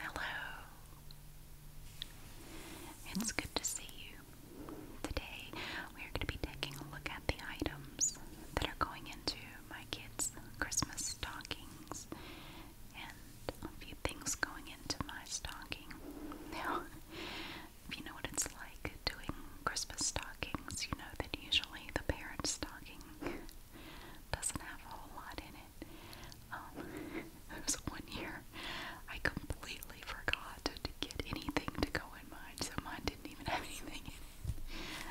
Hello. It's good to see you. Today we are going to be taking a look at the items that are going into my kids' Christmas stockings and a few things going into my stocking. Now, if you know what it's like doing Christmas stockings, you know that usually the parent stocking doesn't have a whole lot in it. Um, there was one year I completely forgot to, get anything to go in mine, so mine didn't even have anything in it.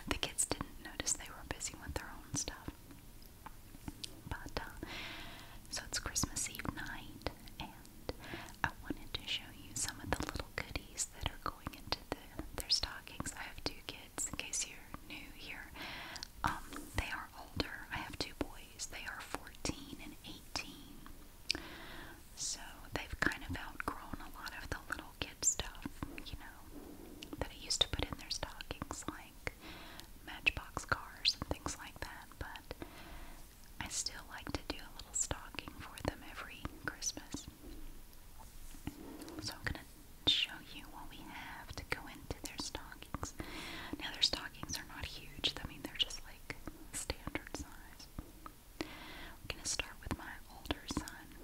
The kids didn't notice they were busy with their own stuff. But, uh, so it's Christmas Eve night, and I wanted to show you some of the little goodies that are going into their stockings. I have two kids kids, in case you're new here, um, they are older. I have two boys. They are 14 and 18. So they've kind of outgrown a lot of the little kid stuff, you know, that I used to put in their stockings, like matchbox cars and things like that. But I still like to do a little stocking for them every Christmas. So I'm going to show you what we have to go into their stockings. Now, their stockings are not huge, I mean, they're just like standard size. I'm going to start with my older son,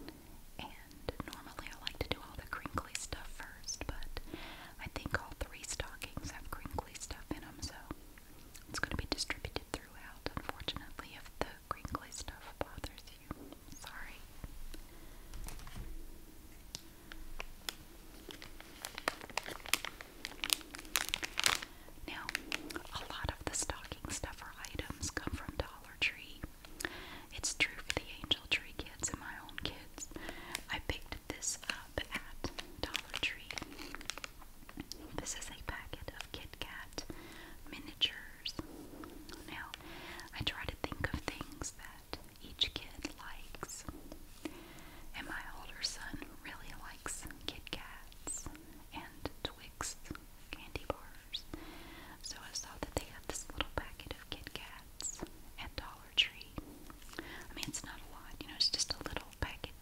and normally I like to do all the crinkly stuff first, but I think all three stockings have crinkly stuff in them, so it's going to be distributed throughout. Unfortunately, if the crinkly stuff bothers Sorry. Now, a lot of the stocking stuffer items come from Dollar Tree. It's true for the Angel Tree kids and my own kids. I picked this up at Dollar Tree. This is a packet of Kit Kat miniature years. Now, I try to think of things that each kid likes. And my older son really likes Kit Kats and Twix candy bars. So I saw that they have this little packet of Kit Kats at Dollar Tree. I mean, it's not a lot, you know, it's just a little packet,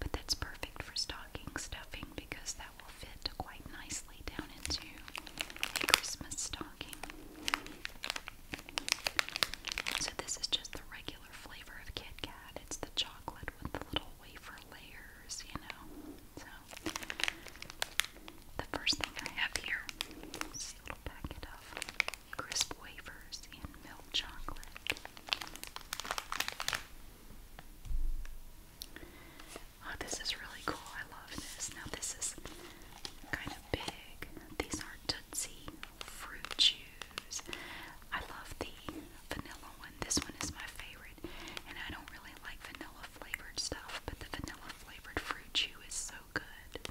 but that's perfect for stocking stuffing because that will fit quite nicely down into a Christmas stocking. So, this is just the regular flavor of Kit Kat. It's the chocolate with the little wafer layers, you know. So, the first thing I have here is a little packet of crisp wafers in milk chocolate. Oh, this is really cool. I love this. Now, this is kind of big. These are Tootsie Fruit Chews. I love the vanilla one. This one is my favorite. And I don't really like vanilla flavored stuff, but the vanilla flavored fruit chew is so good.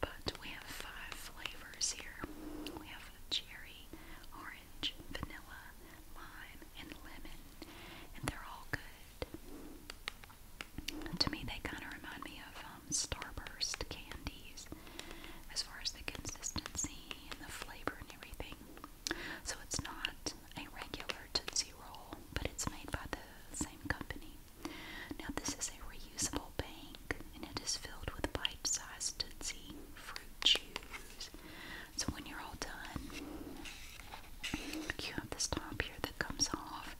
But we have five flavors here we have cherry, orange, vanilla, lime, and lemon. And they're all good. To me, they kind of remind me of um, Starburst candies as far as the consistency and the flavor and everything. So it's not a regular Tootsie Roll, but it's made by the same company. Now, this is a reusable bank and it is filled with bite sized Tootsie fruit chews. So when you're all done, you have this top here that comes off.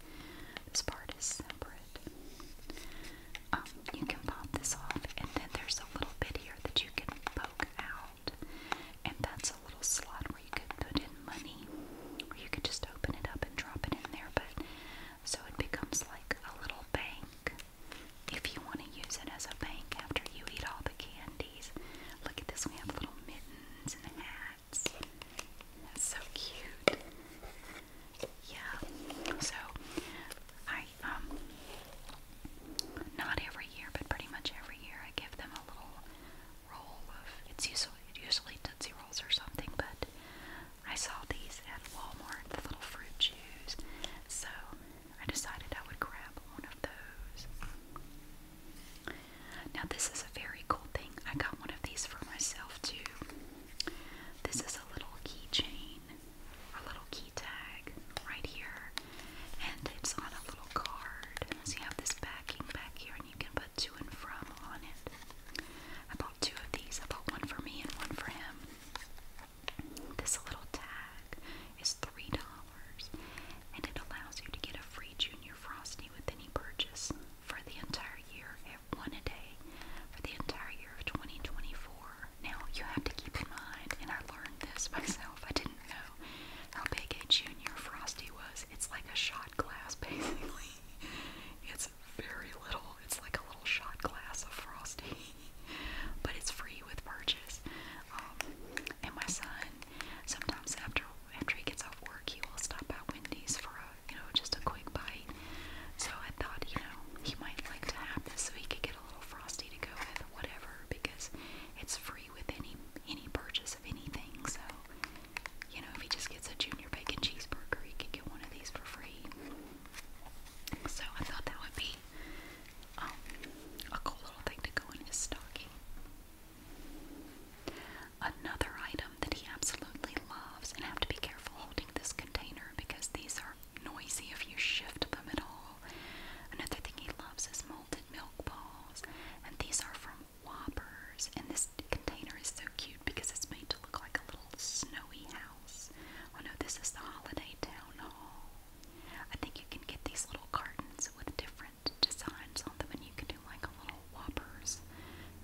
This part is separate. Um, you can pop this off, and then there's a little bit here that you can poke out, and that's a little slot where you could put in money, or you could just open it up and drop it in there. But so it becomes like a little bank. If you want to use it as a bank after you eat all the candies, look at this. We have little mittens buttons and hats. That's so cute. Yeah. So I um not every year, but pretty much every year I give them a little roll of it's usually usually Tootsie Rolls or something, but I saw these at Walmart, the little fruit chews. So I decided I would grab one of those. Now, this is a very cool thing. I got one of these for myself too. This is a little keychain or little key tag right here, and it's on a little card. So, you have this backing back here, and you can put to and from on it. I bought two of these. I bought one for me and one for him. This little tag is $3 and it allows you to get a free Junior Frosty with any purchase for the entire year at eh, one a day for the entire year of 2024. Now, you have to keep in mind, and I learned this myself, I didn't know how big a Junior Frosty was. It's like a shot glass, basically. It's very little, it's like a little shot glass of Frosty, but it's free with purchase. Um, and my son Sometimes after after he gets off work, he will stop by Wendy's for a you know just a quick bite. So I thought you know he might like to have this so he could get a little frosty to go with whatever because it's free with any any purchase of anything. So you know if he just gets a junior bacon cheeseburger, he could get one of these for free. So I thought that would be um, a cool little thing to go in his stocking. Another item that he absolutely loves, and I have to be careful holding this container because these are noisy if you shift them at all. Another thing he loves is malted milk balls, and these are from Whoppers. And this container is so cute because it's made to look like a little snowy house. Oh no, this is the Holiday Town Hall. I think you can get these little cartons with different different designs and you can do like a little Whoppers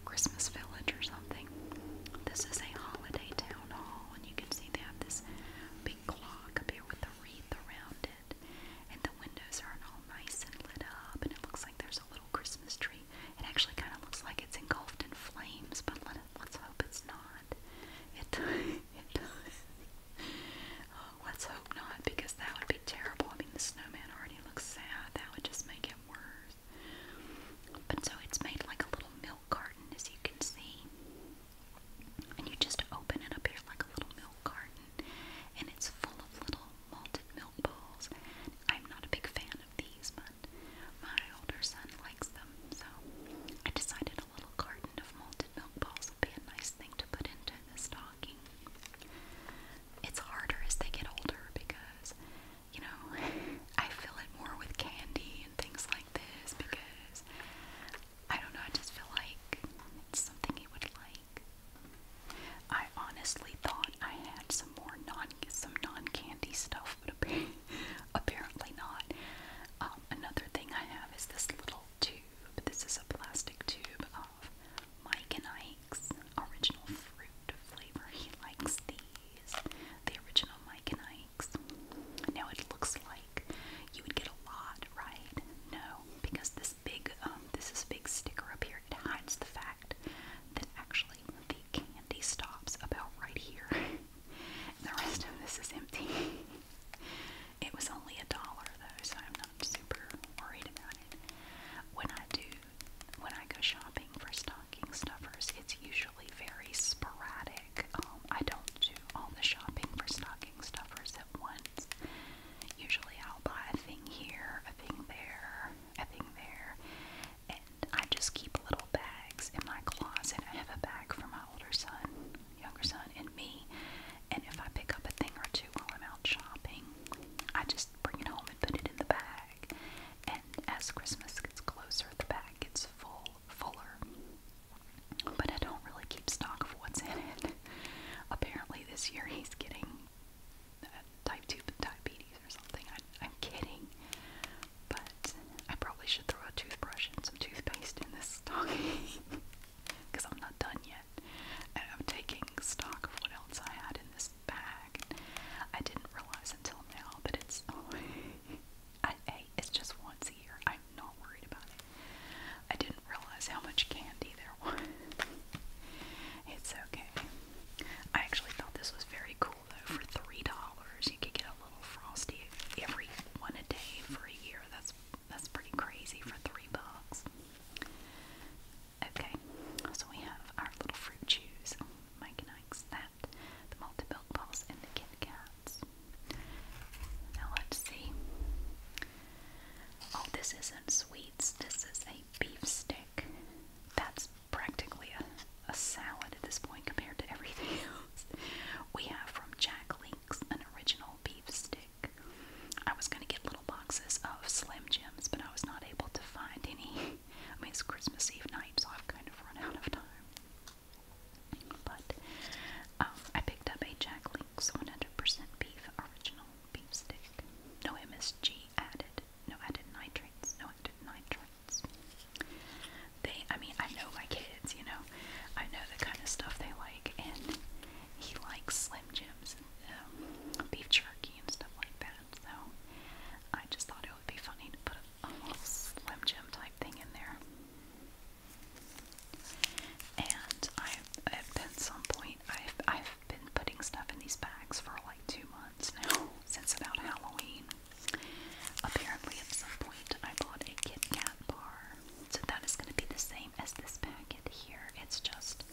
Christmas village or something. This is a holiday town hall, and you can see they have this big clock up here with the wreath around it, and the windows are all nice and lit up, and it looks like there's a little Christmas tree. It actually kind of looks like it's engulfed in flames, but let us hope it's not. it does. Oh, let's hope not, because that would be terrible. I mean, the snowman already looks sad. That would just make it worse. But so it's made like a little milk carton, as you can see. And you just open it up here like a little milk carton, and it's full of little malted milk balls. I'm not a big fan of these, but my older son likes them, so I decided a little carton of malted milk balls would be a nice thing to put into into the It's harder as they get older because, you know, I feel it more with candy and things like this because I don't know, I just feel like it's something he would like. I honestly thought I had some more non some non-candy stuff, but apparently not. Um, another thing I have is this little tube. This is a plastic tube. Um, have Mike and Ike's original fruit flavor. He likes these, the original Mike and Ike's. Now it looks like you would get a lot, right? No, because this big, um, this is big sticker up here. It hides the fact that actually the candy stops about right here. the rest of this is empty. It was only a dollar though, so I'm not super worried about it. When I do, when I go shopping for stocking stuffers, it's usually very sporadic. Um, I don't do all the shopping for stocking stuffers at once. Usually I'll buy a thing here, a thing there, a thing there, and I just keep little bags in my closet. I have a bag for my older son, younger son, and me. And if I pick up a thing or two while I'm out shopping, I just bring it home and put it in the bag. And as Christmas gets closer, the bag gets full, fuller. But I don't really keep stock of what's in it. Apparently, this year he's getting uh, type 2 diabetes or something. I, I'm kidding. But I probably should throw a toothbrush and some toothpaste in this stocking because I'm not done yet. I'm taking stock of what else I had in this bag. I didn't realize until now that it's only. I, I, it's just once a year. I'm not worried about it. I didn't realize how much candy there was. it's okay. I actually thought this was very cool though. For three dollars, you could get a little frosty every one a day for a year. That's that's pretty crazy for three bucks. Okay, so we have our little fruit chews. Mike and Ike's that. The malted milk balls and the Kit Kats. Now let's see. Oh, this isn't sweets. This is a beef stick. That's practically a, a salad at this point compared to everything We have from Jack Link's an original beef stick I was gonna get little boxes of Slim Jims, but I was not able to find any. I mean, it's Christmas Eve night, so I've kind of run out of time. But um, I picked up a Jack Link's 100% beef original beef stick. No MSG added. No added nitrates. No added nitrates. They, I mean, I know my kids, you know. I know the kind of stuff they like, and he likes Slim Jims, um, beef jerky and stuff like that. So I just thought it would be funny to put a, a little Slim Jim type thing in there. And I, at some point, I've I've been putting stuff in these bags for like two months now, since about Halloween. Apparently, at some point, I bought a Kit Kat bar, so that is going to be the same as this packet here. It's just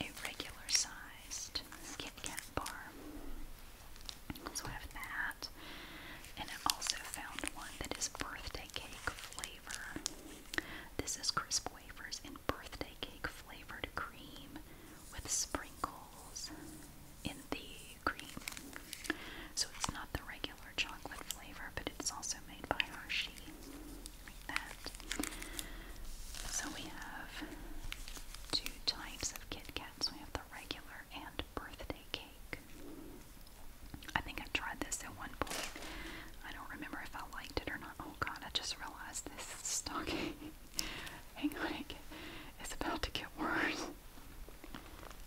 a regular sized Kit Kat bar. So I have that. And I also found one that is birthday cake flavor. This is crisp wafers in birthday cake flavored cream with sprinkles in the cream. So it's not the regular chocolate flavor, but it's also made by Hershey. So we have two types of Kit Kats. We have the regular and birthday cake. I think I tried this at one point. I don't remember if I liked it or not. Oh god, I just realized this is stocking. Hang on, it get, it's about to get worse.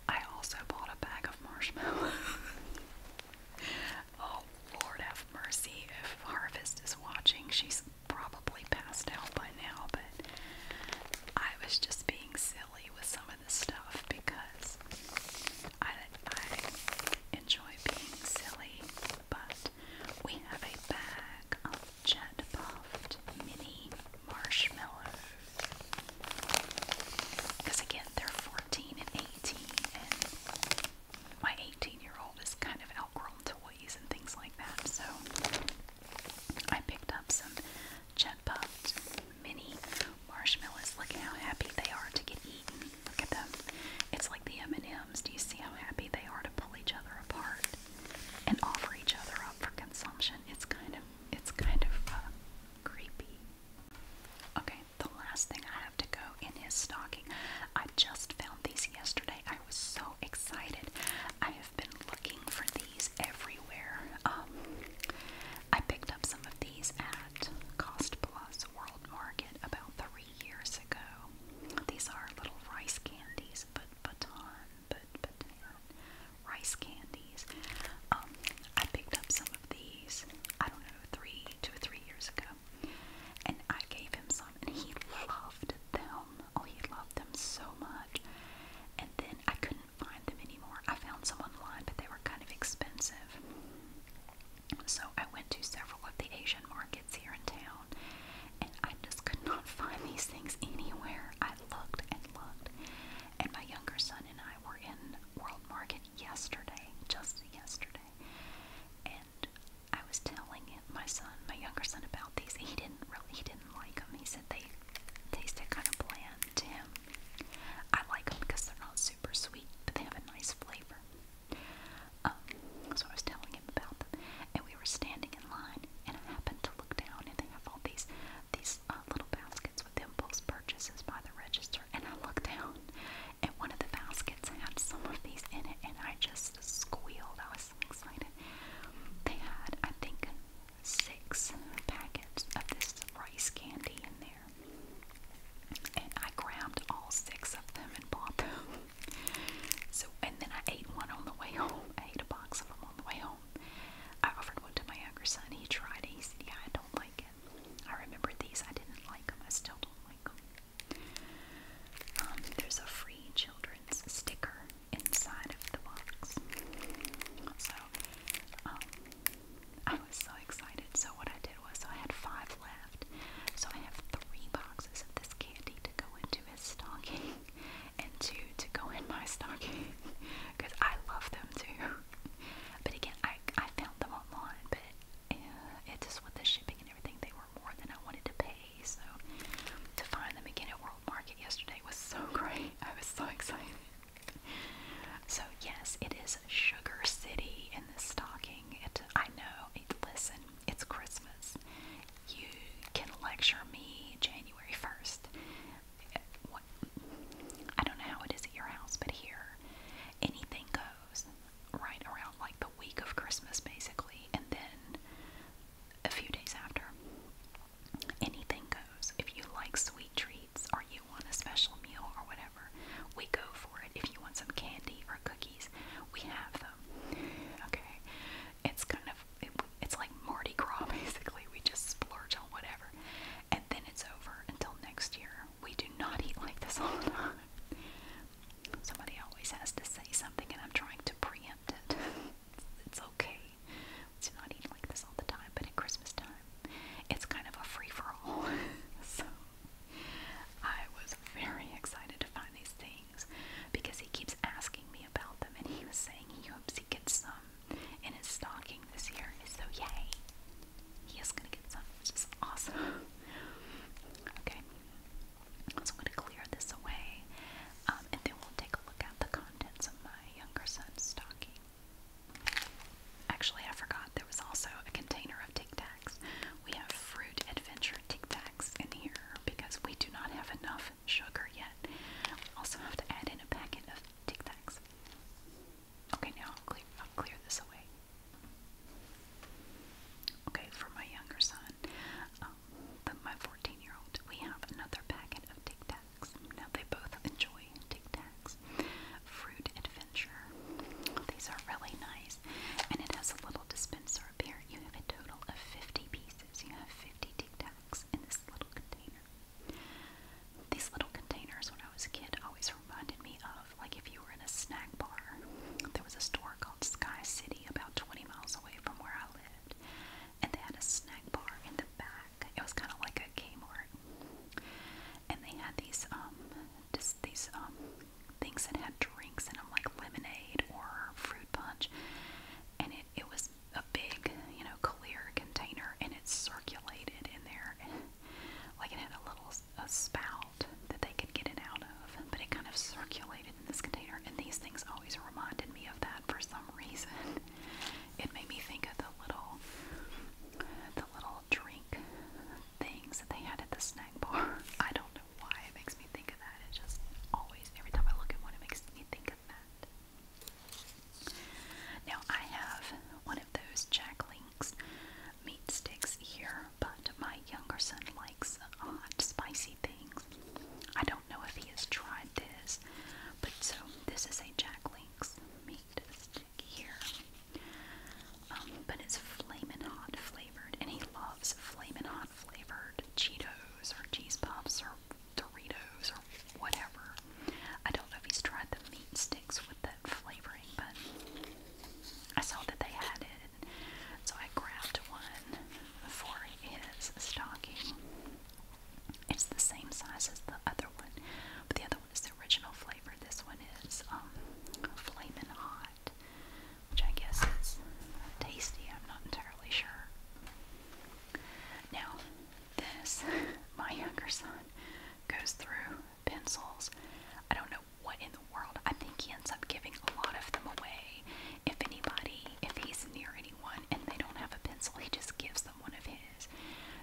I also bought a bag of marshmallows. Oh, Lord have mercy. If Harvest is watching, she's probably passed out by now, but I was just being silly with some of this stuff because I, I enjoy being silly. But we have a bag of Jet Puffed Mini Marshmallows. Because again, they're 14 and 18, my 18 year old is kind of outgrown toys and things like that, so I picked up some Jet Puffed mini marshmallows. Look how happy they are to get eaten. Look at them. It's like the M&Ms. Do you see how happy they are to pull each other apart and offer each other up for consumption? It's kind of it's kind of uh, creepy. Okay, the last thing I have to go in his stocking. I just found these yesterday. I was so excited. I have been looking for these everywhere. Um, I picked up some of these at Cost Plus World Market about three years ago. These are little rice candies, but baton, but baton, rice candies. Um, I picked up some of these. I don't know, three, two or three years ago, and I gave him some, and he loved them. Oh, he loved them so much. And then I couldn't find them anymore. I found some online, but they were kind of expensive. So I went to several of the Asian markets here in town, and I just could not find these things anywhere. I looked and looked, and my younger son and I were in World Market yesterday, just yesterday. And I was telling my son, my younger son, about these. He didn't really, he didn't like them. He said they tasted kind of bland to him. I like them because they're not super sweet, but they have a nice flavor. Um, so I was telling him about them, and we were standing in line, and I happened to look down, and they have all these these uh, little baskets with impulse purchases by the register, and I looked down, and one of the baskets had some of these in it, and I just squealed. I was so excited. They had, I think, six packets of this rice candy in there, and I grabbed all six of them and bought them. So, and then I ate one on the way home. I ate a box of them on the way home. I offered one to my younger son. He tried it. He said, "Yeah, I don't like it." I remember these. I didn't like them. I still don't like them. Um, there's a free children's sticker inside of the box. So um, I was so excited. So what I did was I had five left. So I have three boxes of this candy to go into his stocking and two to go in my stocking because I love them too. But again, I I found them online, but and it just with the shipping and everything, they were more than I wanted to pay. So to find them again at World Market yesterday was so great. I was so excited. So yes, it is Sugar City in this stocking. It I know. It, listen, it's Christmas. You can lecture me January first. I don't know how it is at your house, but here anything goes right around like the week of Christmas, basically, and then a few days after. Anything goes. If you like sweet treats or you want a special meal or whatever, we go for it. If you want some candy or cookies, we have them. Okay, it's kind of it, it's like Mardi Gras, basically. We just splurge on whatever, and then it's over until next year we do not eat like this all the time. Somebody always has to say something, and I'm trying to preempt it. it's okay to not eat like this all the time, but at Christmas time, it's kind of a free for all. so I was very excited to find these things because he keeps asking me about them, and he was saying he hopes he gets some in his stocking this year. So yay! He is gonna get some, which is awesome. okay, I'm gonna clear this away, um, and then we'll take a look at the contents of my younger son's stocking. Actually, I forgot there was also a container of Tic Tacs. We have fruit adventure Tic Tacs in here because we do not have enough sugar yet. We also have to add in a packet of Tic Tacs. Okay, now I'll clear this away. Okay, for my younger son, um, but my 14 year old, we have another packet of Tic Tacs. Now they both enjoy Tic Tacs. Fruit Adventure. These are really nice, and it has a little dispenser up here. You have a total of 50 pieces. You have 50 Tic Tacs in this little container. These little containers, when I was a kid, always reminded me of of like if you were in a snack bar. There was a store called Sky City about 20 miles away from where I lived, and they had a snack bar in the back. It was kind of like a Kmart, and they had these um just these um things that had drinks in them, like lemonade or fruit punch, and it it was a big you know clear container, and it circulated in there. Like it had a little a spout vault that they could get it out of, but it kind of circulated in this container. And these things always reminded me of that for some reason. It made me think of the little, the little drink things that they had at the snack bar. I don't know why it makes me think of that. It just always, every time I look at one, it makes me think of that. Now I have one of those Jacqueline things, meat sticks here, but my younger son likes hot, spicy things. I don't know if he has tried this, but so this is a Jack Link's meat stick here. Um, but it's flamin' hot flavored, and he loves flamin' hot flavored Cheetos or cheese puffs or Doritos or whatever. I don't know if he's tried the meat with that flavoring, but I saw that they had it, so I grabbed one for his stocking. It's the same size as the other one, but the other one is the original flavor. This one is um, Flamin' Hot, which I guess is tasty. I'm not entirely sure. Now, this, my younger son goes through pencils. I don't know what in the world. I think he ends up giving a lot of them away. If anybody, if he's near anyone and they don't have a pencil, he just gives them one of his.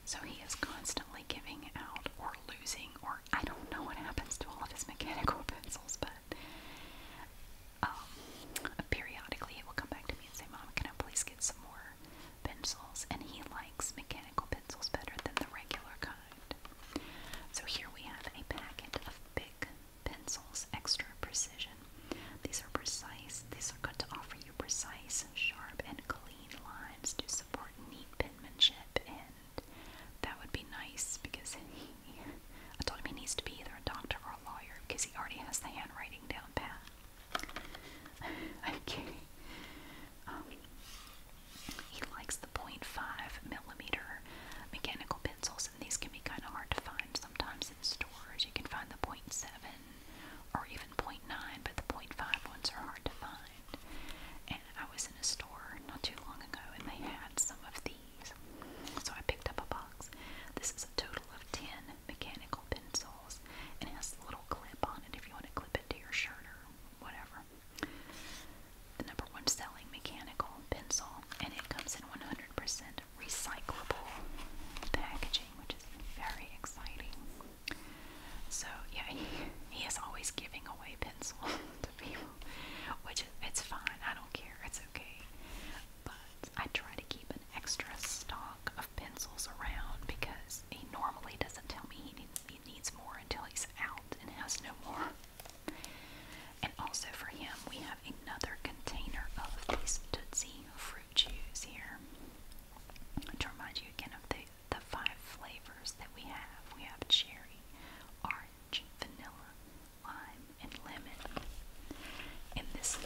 So he is constantly giving out or losing, or I don't know what happens to all of his mechanical pencils, but um, periodically he will come back to me and say, Mom, can I please get some more pencils? And he likes mechanical mechanical pencils better than the regular kind. So here we have a packet of big pencils, extra precision. These are precise. These are good to offer you precise, sharp, and clean lines to support neat penmanship, and that would be nice because I told him he needs to be either a doctor or a lawyer because he already has the handwriting down pat. okay. Um, he likes the 0.5 millimeter mechanical pencils, and these can be kind of hard to find sometimes in stores. You can find the 0.7 or even 0.9, but the 0.5 ones are hard to find. And I was in a store not too long ago, and they had some of these, so I picked up a box. This is a total of 10 mechanical pencils, and it has a little clip on it if you want to clip it to your shirt or whatever. The number one selling mechanical pencil, and it comes in 100% recyclable packaging, which is very exciting. So yeah, he, he is always giving away pencils to people, which is, it's fine. I don't care. It's okay. But I try to keep an extra stock of pencils around because he normally doesn't tell me he needs, he needs more until he's out and has no more. And also for him, we have another container of these Tootsie fruit chews here. To remind you again of the, the five flavors that we have we have cherry, orange, vanilla, lime, and lemon. And this,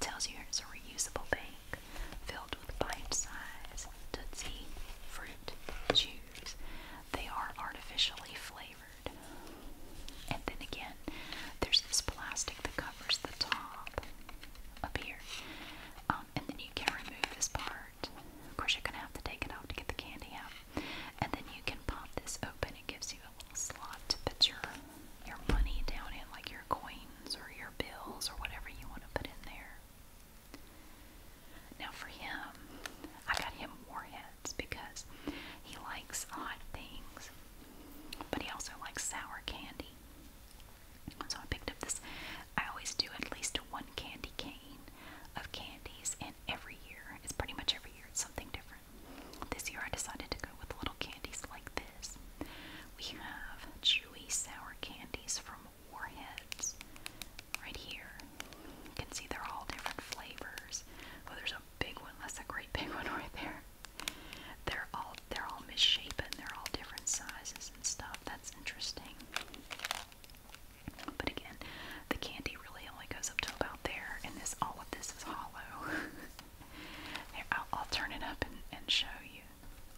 tells you it's a reusable bag filled with bite size Tootsie fruit chews use, they are artificially flavored. And then again, there's this plastic that covers the top up here. Um, and then you can remove this part. Of course, you're going to have to take it out to get the candy out. And then you can pop this open. It gives you a little slot to put your, your money down in, like your coins or your bills or whatever you want to put in there. Now for him, I got him warheads because he likes odd things, but he also likes sour candy. So I picked up this. I always do at least one candy cane of candies, and every year, it's pretty much every year, it's something different. This year I decided to go with little candies like this. We have chewy sour candies from warheads right here. You can see they're all different flavors. Oh, there's a big one. That's a great big one right there. They're all they're all misshapen. They're all different sizes and stuff. That's interesting. But again, the candy really only goes up to about there, and this all of this is hollow. there, I'll, I'll turn it up and, and show you.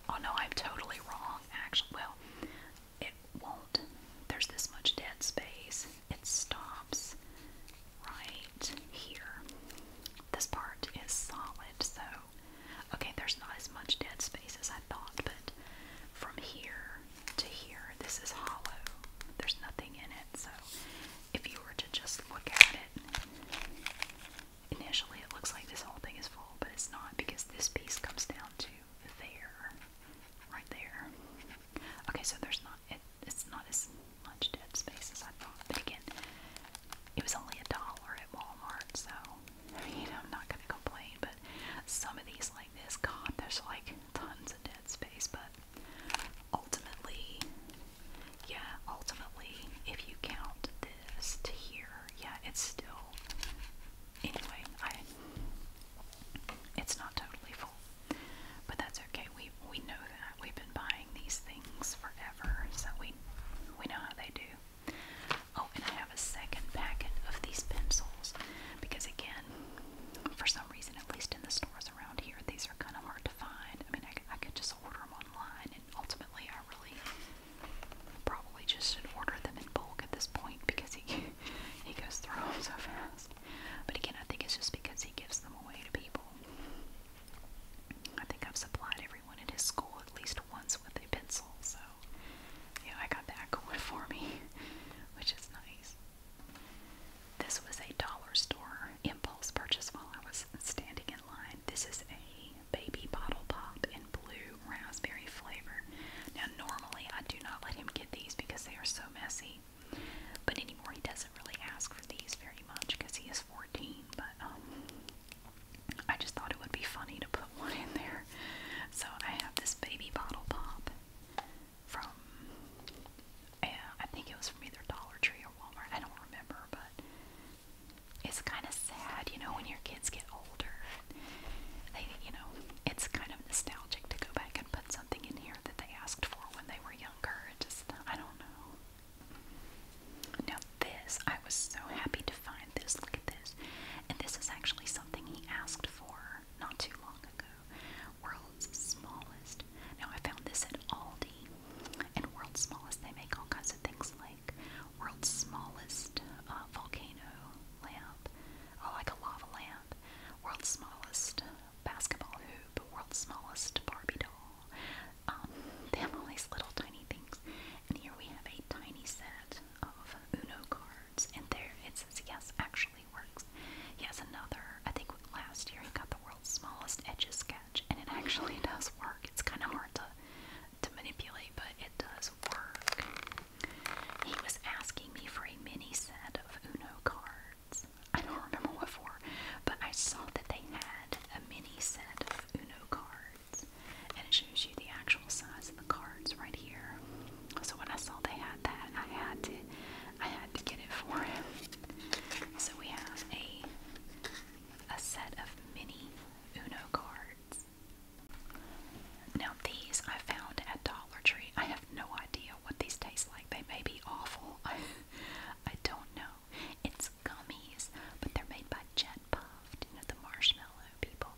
Oh no, I'm totally wrong. Actually, well, it won't. There's this much dead space. It stops right here. This part is solid, so okay, there's not as much dead space as I thought, but from here to here, this is hollow. There's nothing in it, so if you were to just look at it, initially it looks like this whole thing is full, but it's not because this piece comes down to there, right there. Okay, so there's not it, it's not as much dead space as I thought. But again, it was only a dollar at Walmart, so you know I'm not gonna complain. But some of these like this, God, there's like tons of dead space. But ultimately, yeah, ultimately, if you count this to here, yeah, it's still anyway, I it's not totally full, but that's okay. We we know that we've been buying these things forever, so we we know how they do. Oh, and I have a second packet of these pencils because again, for some reason, at least in the stores around here, these are kind of hard to find. I mean, I, I could just order them online, and ultimately, I really probably just should order them in bulk at this point because it, he goes through them so fast. But again, I think it's just because he gives them away to people. I think I've supplied everyone at his school at least once with a pencil, so yeah, I got that going for me, which is nice. This was a dollar store impulse purchase while I was standing in line. This is a baby bottle pop in blue true raspberry flavor. Now, normally I do not let him get these because they are so messy, but anymore he doesn't really ask for these very much because he is 14. But um, I just thought it would be funny to put one in there. So I have this baby bottle pop from, yeah, I think it was from either Dollar Tree or Walmart. I don't remember, but it's kind of sad, you know, when your kid kids get older, they, you know, it's kind of nostalgic to go back and put something in here that they asked for when they were younger. It just, I don't know. Now this, I was so happy to find this. Look at this, and this is actually something he asked for not too long ago. World's smallest. Now I found this at Aldi, and World's smallest they make all kinds of things like world's smallest uh, volcano lamp, I oh, like a lava lamp. World's smallest basketball hoop. World's smallest Barbie doll. Um, they have all these little tiny things. And here we have a tiny set of Uno cards. And there it says, yes, actually works. He has another, I think last year he got the world's smallest edges sketch. And it actually does work. It's kind of hard to, to manipulate, but it does work. He was asking me for a mini set of Uno cards. I don't remember what for, but I saw that they had a mini set of Uno cards. And it shows you the actual size of the cards right here. So when I saw they had that, I had to I had to get it for him. So we have a a set of mini Uno cards. Now, these I found at Dollar Tree. I have no idea what these taste like. They may be awful. I, don't know. It's gummies, but they're made by Jet Puffed, you know, the marshmallow people.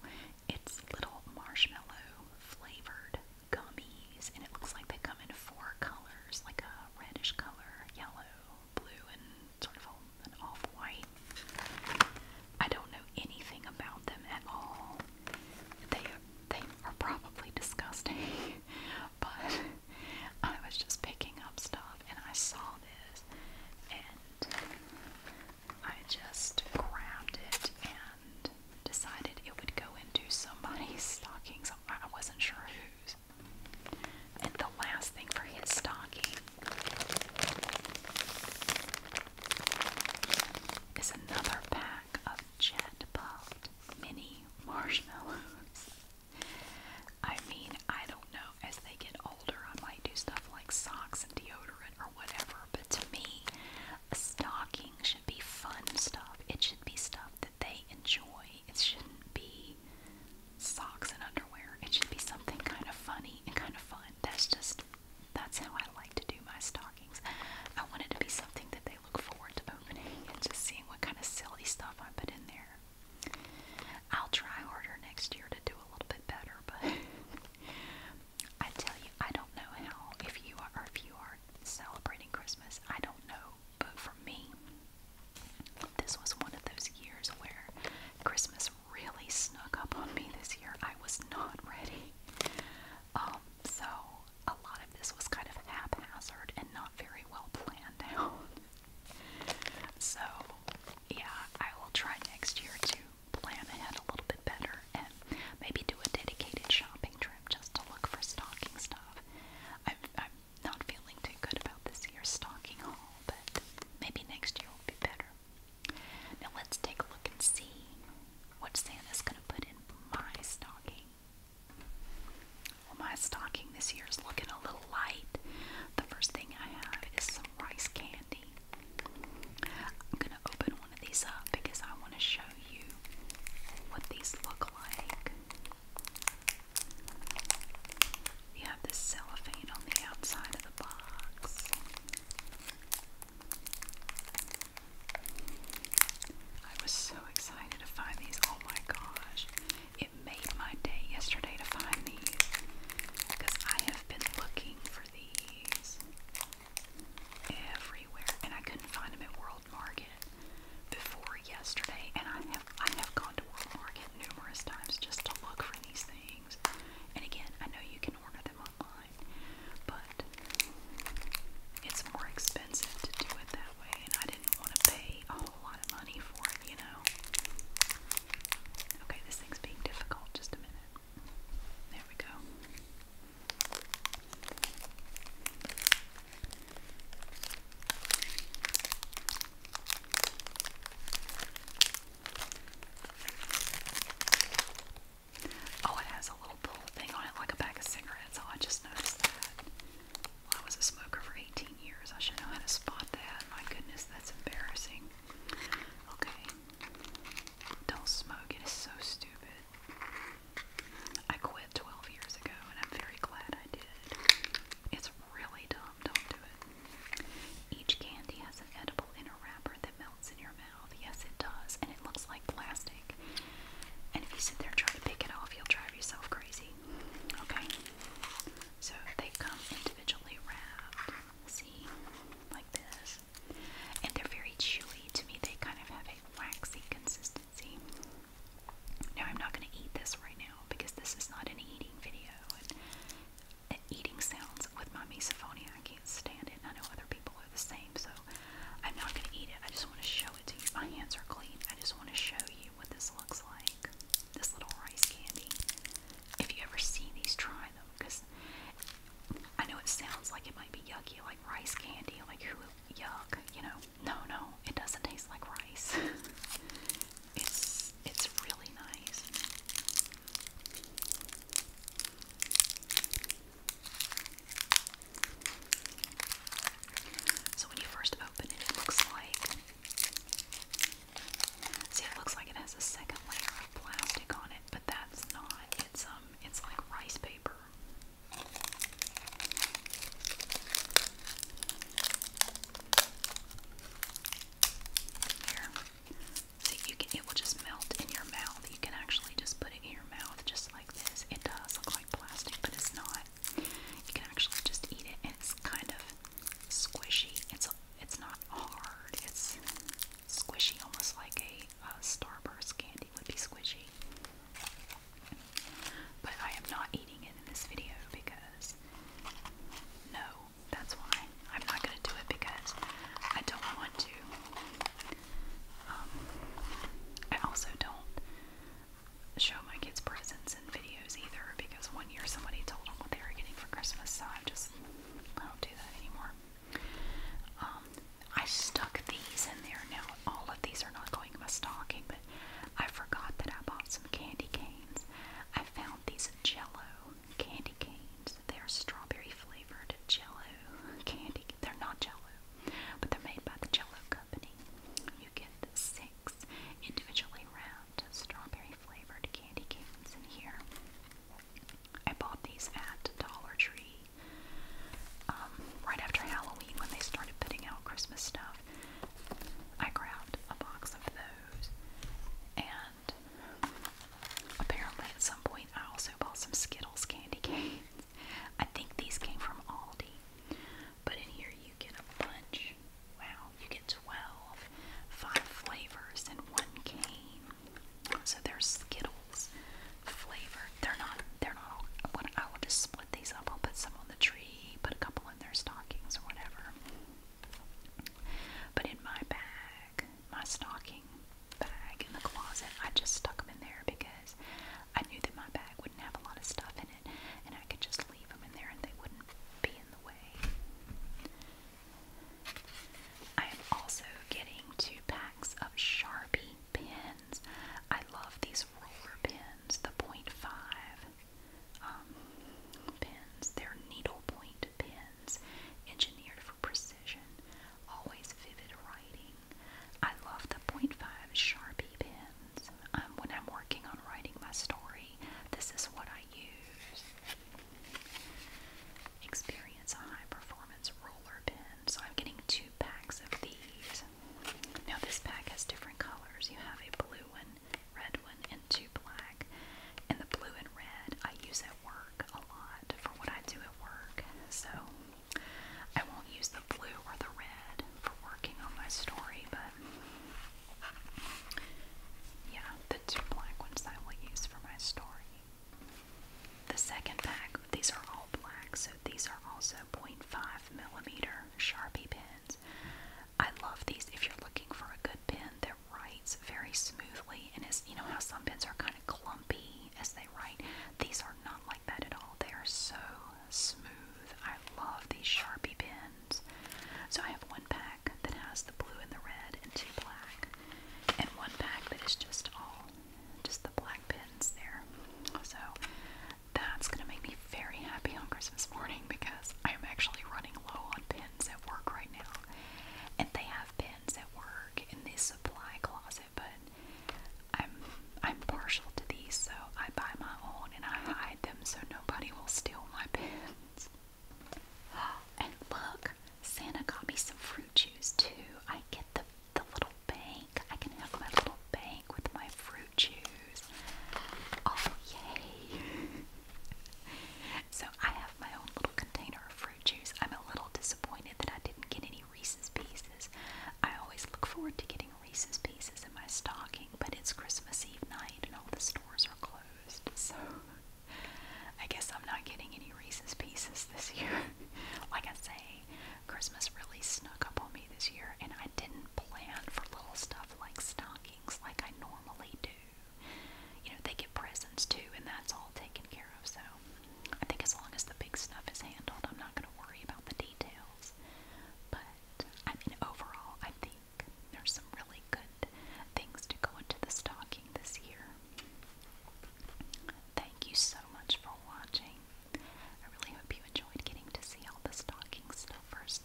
It's little marshmallow flavored gummies, and it looks like they come in four colors like a reddish color, yellow, blue, and sort of a, off white. I don't know anything about them at all. They they are probably disgusting, but I was just picking up stuff and I saw this and I just grabbed it and decided it would go into somebody's stockings. I wasn't sure whose. And the last thing for his stocking is another pack of jet puffed mini marshmallows. I mean, I don't know, as they get older, I might do stuff like socks and deodorant or whatever, but to me, a stocking should be fun stuff. It should be stuff that they enjoy. It shouldn't be socks and underwear. It should be something kind of funny and kind of fun. That's just that's how I like to do my stockings. I want it to be something that they look forward to opening and just seeing what kind of silly stuff I put in there. I'll try harder next year to do a little bit better, but I tell you, I don't know how if you are if you are celebrating Christmas, I don't know. But for me, this was one of those years where Christmas really snuck up on me this year. I was not ready actually. Um, so a lot of this was kind of haphazard and not very well planned out. so yeah, I will try next year to plan ahead a little bit better and maybe do a dedicated shopping trip just to look for stocking stuff. I'm, I'm not feeling too good about this year's stocking haul, but maybe next year will be better. Now let's take a look and see what Santa's going to put in my stocking. my stocking this year is looking a little light. The first thing I have is some rice candy. I'm going to open one of these up because I want to show you what these look like. You have this cellophane on the outside of the box. I was so excited to find these. Oh my gosh. It made my day yesterday to find these because I have been looking for these everywhere and I couldn't find them at World Market before yesterday and I have I have gone to World Market numerous times just to look for these things. And again, I know you can order them online fine. But it's more expensive to do it that way, and I didn't want to pay a whole lot of money for it, you know. Okay, this thing's being difficult. Just a minute. There we go. Oh, it has a little pull thing on it like a pack of cigarettes. Oh, I just noticed that. Well, I was a smoker for 18 years. I should know how to spot that. My goodness, that's embarrassing. Okay. Don't smoke. It is so stupid. I quit 12 years ago and I'm very glad I did. It's really dumb. Don't do it. Each candy has an edible inner wrapper that melts in your mouth mouth. Yes, it does. And it looks like plastic. And if you sit there and try to pick it off, you'll drive yourself crazy. Okay? So they come individually wrapped. See? Like this. And they're very chewy. To me, they kind of have a waxy consistency. Now, I'm not going to eat this right now because this is not an eating video. And eating sounds with my misophonia. I can't stand it. I know other people are the same, so I'm not going to eat it. I just want to show it to you. My hands are clean. I just want to show you what this looks like. This little rice candy. If you ever see these, try them because I know it sounds like it might be yucky, like rice candy, like who yuck, you know. No, no, it doesn't taste like rice. it's it's really nice. So when you first open it, it looks like. See, it looks like it has a second layer of plastic on it, but that's not. It's um, it's like rice paper. Here. See, you can, it will just melt in your mouth. You can actually just put it in your mouth just like this. It does look like plastic, but it's not. You can actually just eat it, and it's kind of squishy. It's it's not hard. It's squishy, almost like a, Starburst candy would be squishy. But I am not eating it in this video because no, that's why. I'm not going to do it because I don't want to. Um, I also don't show my kids presents in videos either because one year somebody told them what they were getting for Christmas, so I just I don't do that anymore. Um, I stuck these in there now. All of these are not going in my stocking, but I forgot that I bought some candy canes. I found these in o candy canes. They are strawberry flavored jello candy. They're not jello, but they're made by the Jello Company. You get six individually wrapped strawberry flavored candy canes in here. I bought these at Dollar Tree um, right after Halloween when they started putting out Christmas stuff. I grabbed a box of those and apparently, at some point, I also bought some Skittles candy canes. I think these came from Aldi, but in here you get a bunch. Wow, you get 12, flavors, in one cane. So they're Skittles flavor. They're not. They're not all. I will just split these up. I'll put some on the tree, put a couple in their stockings or whatever. But in my bag, my stocking bag in the closet. I just stuck them in there because I knew that my bag wouldn't have a lot of stuff in it and I could just leave them in there and they wouldn't be in the way. I am also getting two packs of Sharpie pens. I love these roller pens, the 0.5 um, pens. They're needlepoint pens engineered for precision always vivid writing. I love the .5 Sharpie pens. Um, when I'm working on writing my story, this is what I use. Experience a high performance roller pen. So I'm getting two packs of these. Now this pack has different colors. You have a blue one, red one, and two black. And the blue and red I use work a lot for what I do at work, so I won't use the blue or the red for working on my story, but yeah, the two black ones I will use for my story. The second pack, these are all black, so these are also 0.5 millimeter Sharpie pens. I love these. If you're looking for a good pen, they're right very smoothly and as you know how some pens are kind of clumpy as they write. These are not like that at all. They are so smooth. I love these Sharpie pens. So I have one pack that has the blue and the red and two black. And one pack that is just all just the black pens there. So that's gonna make me very happy on Christmas morning because I'm actually running low on pens at work right now. And they have pens friends at work in this supply closet, but I'm I'm partial to these, so I buy my own and I hide them so nobody will steal my pens. And look, Santa got me some fruit juice too. I get the the little bank. I can have my little bank with my fruit juice. Oh yay! so I have my own little container of fruit fruit juice. I'm a little disappointed that I didn't get any Reese's Pieces. I always look forward to getting Reese's Pieces in my stocking, but it's Christmas Eve night and all the stores are closed, so I guess I'm not getting any Reese's Pieces this year. like I say, Christmas really snuck up on me this year, and I didn't plan for little stuff like stockings like I normally do. You know, they get presents too, and that's all taken care of, so I think as long as the big stuff is handled, I'm not going to worry about the details. But I mean, overall, I think there's some really good things to go into the stocking this year. Thank you so much for watching. I really hope you enjoyed getting to see all the stocking stuffers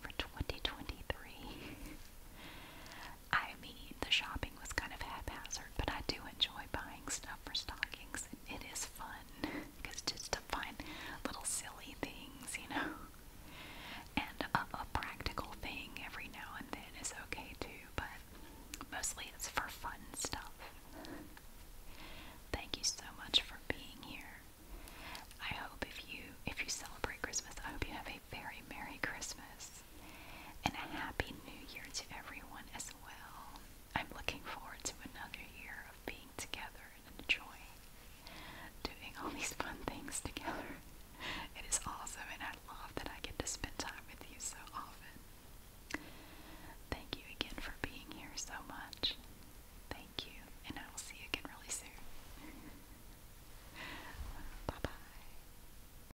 for 2023. I mean, the shopping was kind of haphazard, but I do enjoy buying stuff for stockings. It is fun because just to find little silly things, you know. And a, a practical thing every now and then is okay too, but mostly it's for fun stuff. Thank you so much for being here. I hope if you if you celebrate Christmas, I hope you have a very merry Christmas and a happy new year to everyone as well. I'm looking forward to another year of being together and enjoying doing all these fun things together. It is awesome and I love that I get to spend time with you so often. Thank you again for being here so much. Thank you, and I will see you again really soon. Bye bye.